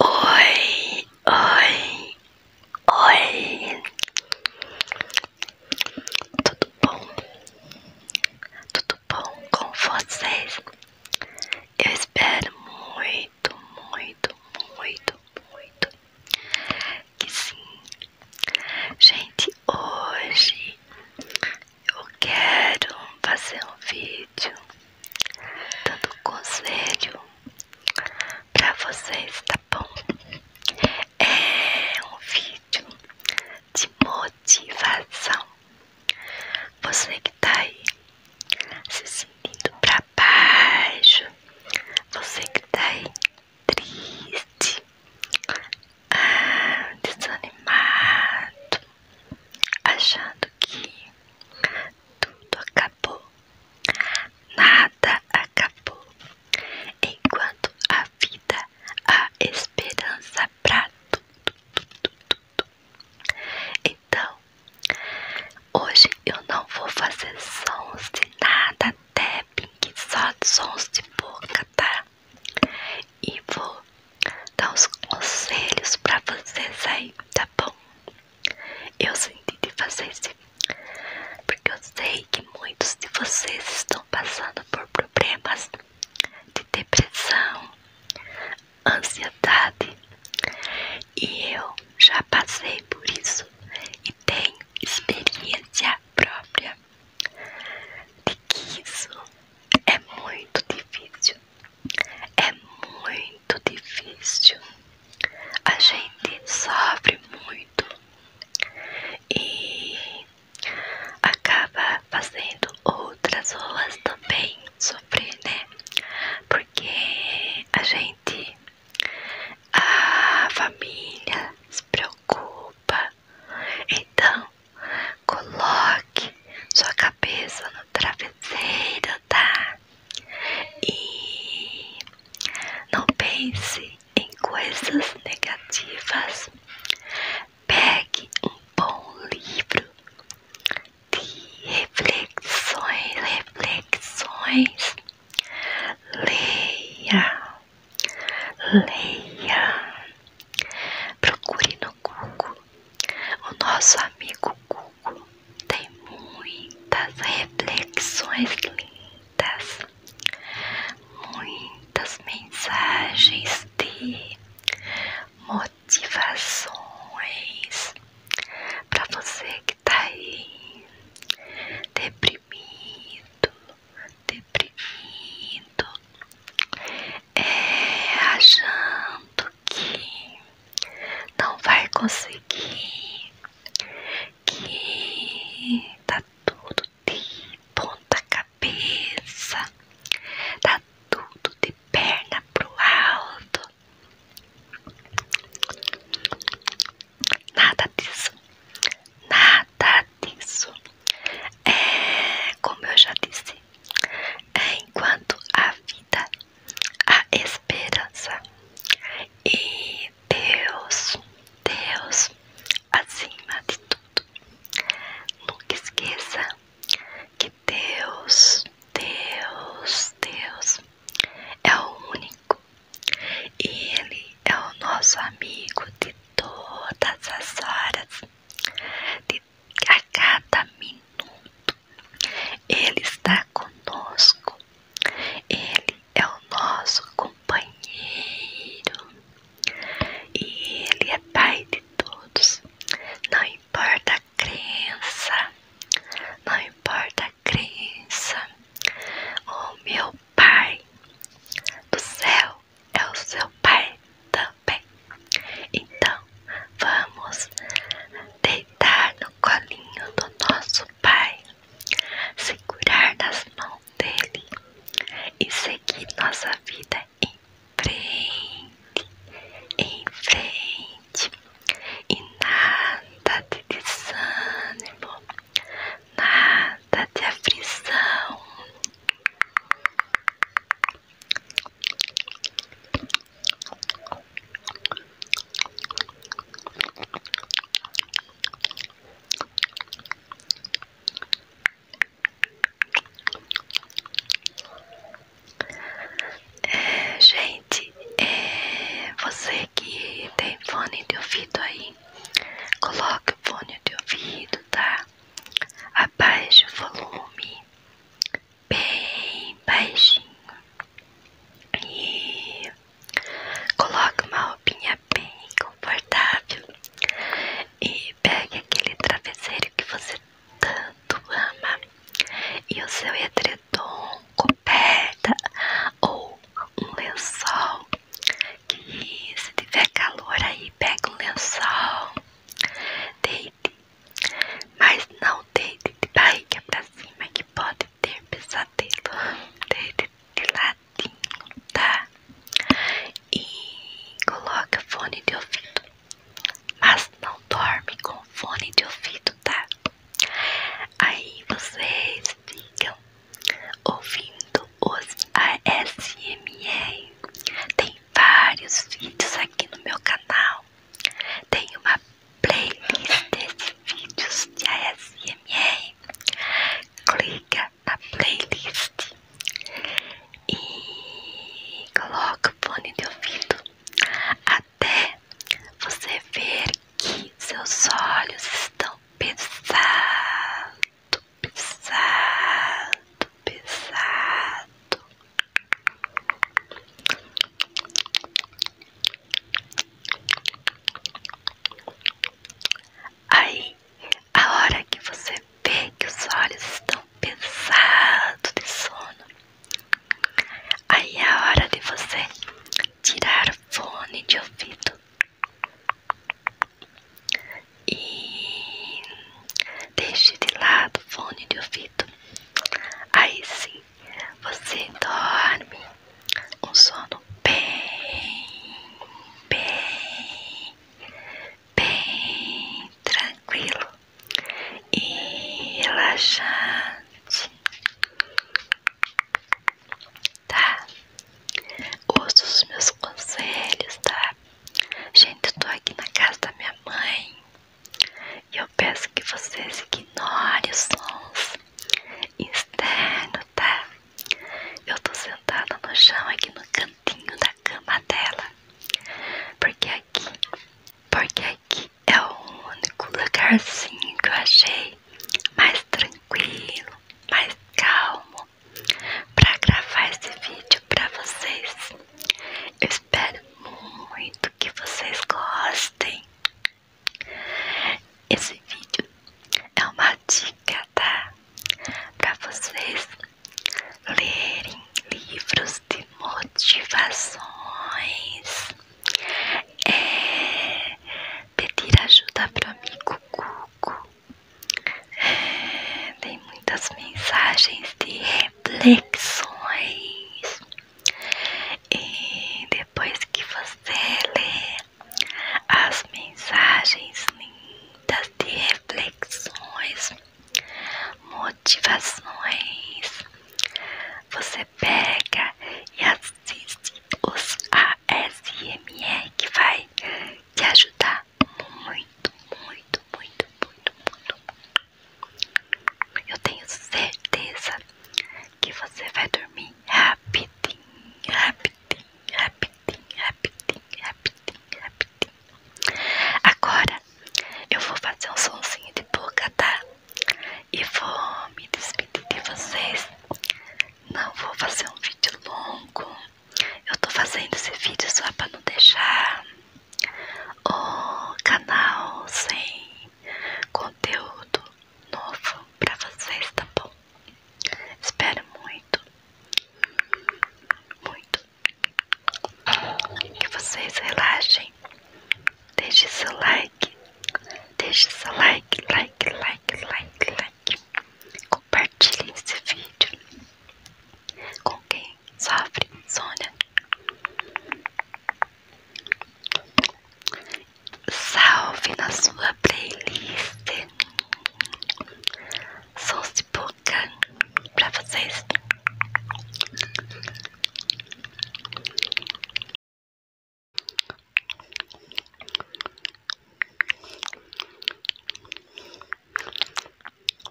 Oi, oi, oi. Tudo bom? Tudo bom com vocês? Eu espero muito, muito, muito, muito que sim. Gente, hoje eu quero fazer um vídeo vídeo, dando conselho para vocês, tá bom? É um vídeo de motivação. Você que tá aí se sentindo para baixo, você que tá aí triste, ah, desanimado, achando que tudo acabou. Nada acabou. Enquanto a vida, há esperança pra tudo, tudo, tudo. Então, hoje eu não vou fazer sons de nada, tapping, só sons de boca, tá? E vou dar os conselhos pra vocês aí, tá bom? Eu senti de fazer isso porque eu sei que muitos de vocês estão passando por problemas de depressão, ansiedade e eu já passei por isso e tenho experiência própria de que isso é muito difícil é muito difícil. A gente sofre muito e acaba fazendo outras pessoas também sofrer, né? Porque a gente, a família se preocupa. Então, coloque sua cabeça no travesseiro, tá? E não pense em coisas negativas. Pegue um bom livro de reflexões, reflexões. Leia, leia. Procure no Google o nosso amigo Google tem muitas reflexões lindas, muitas mensagens de motivações para você que tá aí deprimido, deprimido, é, achando que não vai conseguir, que tá tudo de ponta cabeça, tá tudo de perna pro alto. Nada disso, nada disso. É como eu já disse, é enquanto a vida a esperança. E Deus, Deus, acima de tudo, nunca esqueça que Deus, Deus, Deus é o único e Ele é o nosso amigo de todas as horas, de a cada minuto minuto. Ele está conosco. Ele é o nosso companheiro. E ele é Pai de todos. Não importa a crença. Não importa a crença. O meu Pai do céu é o seu Pai também. Então, vamos deitar no no colinho do nosso Pai, segurar nas mãos dele e seguir nossa vida em frente, em frente, e nada de desânimo, nada de aflição. É, gente, é, você que tem fone de ouvido aí, coloque o fone de ouvido, tá? Abaixe o volume bem baixinho e coloque uma roupinha bem confortável e pegue aquele travesseiro que você tanto ama e o seu edredom, coberta ou um lençol que se tiver calor aí pegue um lençol deite mas não deite de barriga pra cima que pode ter pesadelo dele de latim, tá? E coloca fone de ouvido, mas não dorme com fone de ouvido, tá? Aí vocês ficam ouvindo os ASMR. Tem vários vídeos aqui no meu canal. Tem uma playlist de vídeos de ASMR, clica na playlist e coloca o fone de ouvido até você ver que seus olhos estão pesados, pesados, pesados. Aí, a hora que você vê que os olhos estão pesados de sono, aí é a hora de você tirar o fone de ouvido e deixe de lado o fone de ouvido. Aí sim você dorme um sono bem, bem, bem tranquilo e relaxante, tá? Ouço os meus conselhos, tá? Gente, eu tô aqui na casa da minha mãe e eu peço que vocês ignorem os sons externos, tá? Eu tô sentada no chão aqui no cantinho da cama dela. Porque aqui, porque aqui é o único lugarzinho que eu achei mais tranquilo, mais calmo para gravar esse vídeo para vocês. Eu espero muito que vocês gostem. Esse vídeo é uma dica, tá? para vocês lerem livros de motivações, é pedir ajuda pro amigo Cuco. É, tem muitas mensagens de reflexões. E depois que você lê as mensagens lindas de reflexões, motivações, você pega e assiste os ASMR que vai te ajudar muito, muito, muito, muito, muito. Eu tenho certeza que você vai dormir rapidinho, rapidinho, rapidinho, rapidinho, rapidinho, rapidinho. Agora eu vou fazer um sonzinho de boca, tá? E vou me despedir de vocês. Não vou fazer um vídeo longo. Eu tô fazendo esse vídeo só pra não deixar o canal sem conteúdo novo pra vocês, tá bom? Espero muito, muito que vocês relaxem. Deixe seu like, deixe seu like, like, like, like, like. Compartilhe esse vídeo com quem sofre insônia. Salve na sua playlist sou de boca pra vocês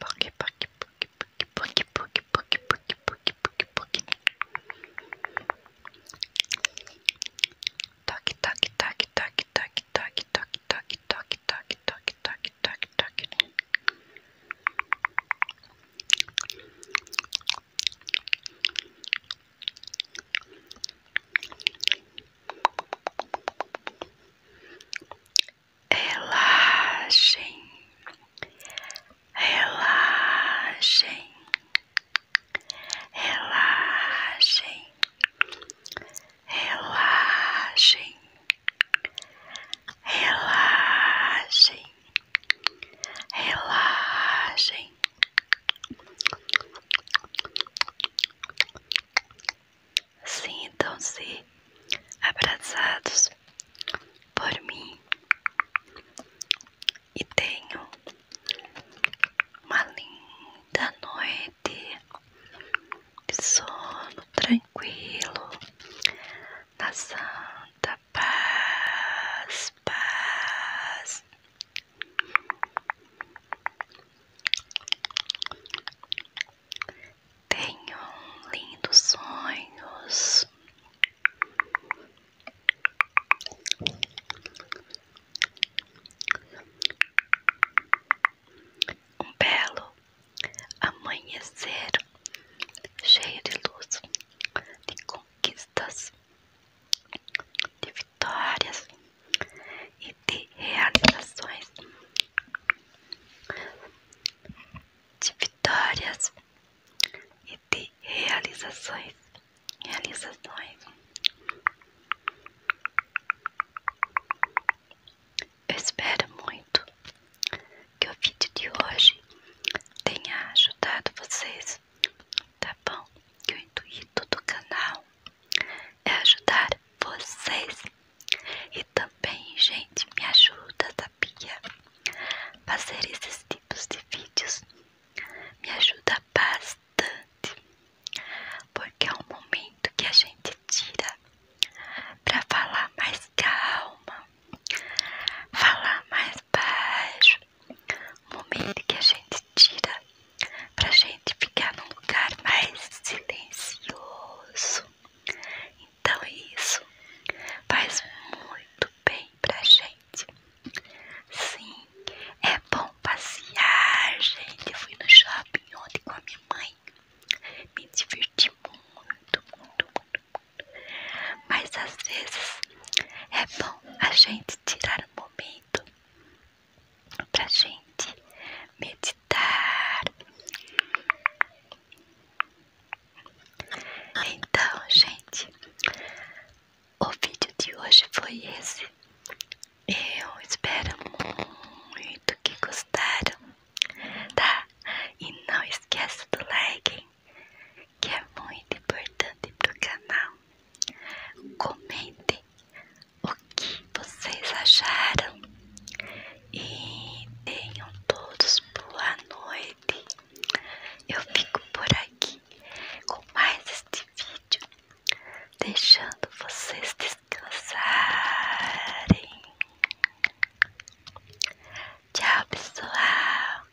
Poki, poki, poki, poki, poki, poki, poki, poki, Puk, puk, puk, puk. Toque, toque, toque, toque, toque, toque, toque, toque, toque, toque, toque, toque, toque, toque. Relaxem, relaxem, relaxem, relaxem, relaxem, relaxem. Sintam-se abraçados por mim e tenho uma linda noite de sono tranquilo na santa paz, paz. Tenham lindos sonhos. Um belo amanhecer cheio de luz, de conquistas, de vitórias e de realizações, de vitórias e de realizações. Realizações. Eu espero muito que o vídeo de hoje tenha ajudado vocês, tá bom? Que o intuito do canal é ajudar vocês e também, gente, me ajuda, sabia? Fazer esses tipos de vídeos me ajuda bastante, porque é um momento que a gente tira para falar mais calma, falar mais baixo, momento que a gente tira para gente ficar num lugar mais silencioso. Então isso faz muito bem pra gente. Sim, é bom passear, gente. Eu fui no shopping ontem com a minha mãe. Me diverti muito, muito, muito, muito. Mas às vezes é bom a gente tirar um momento pra gente meditar. Então, gente, o vídeo de hoje foi esse. Eu espero muito que gostaram, tá? E não esqueça do like, que é muito importante pro canal. Comente o que vocês acharam. E tenham todos boa noite. Eu fico por aqui com mais este vídeo, deixando vocês descansarem. Tchau, pessoal.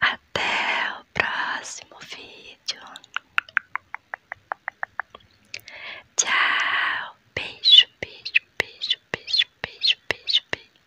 Até o próximo vídeo. Tchau. Beijo, beijo, beijo, beijo, beijo, beijo, beijo.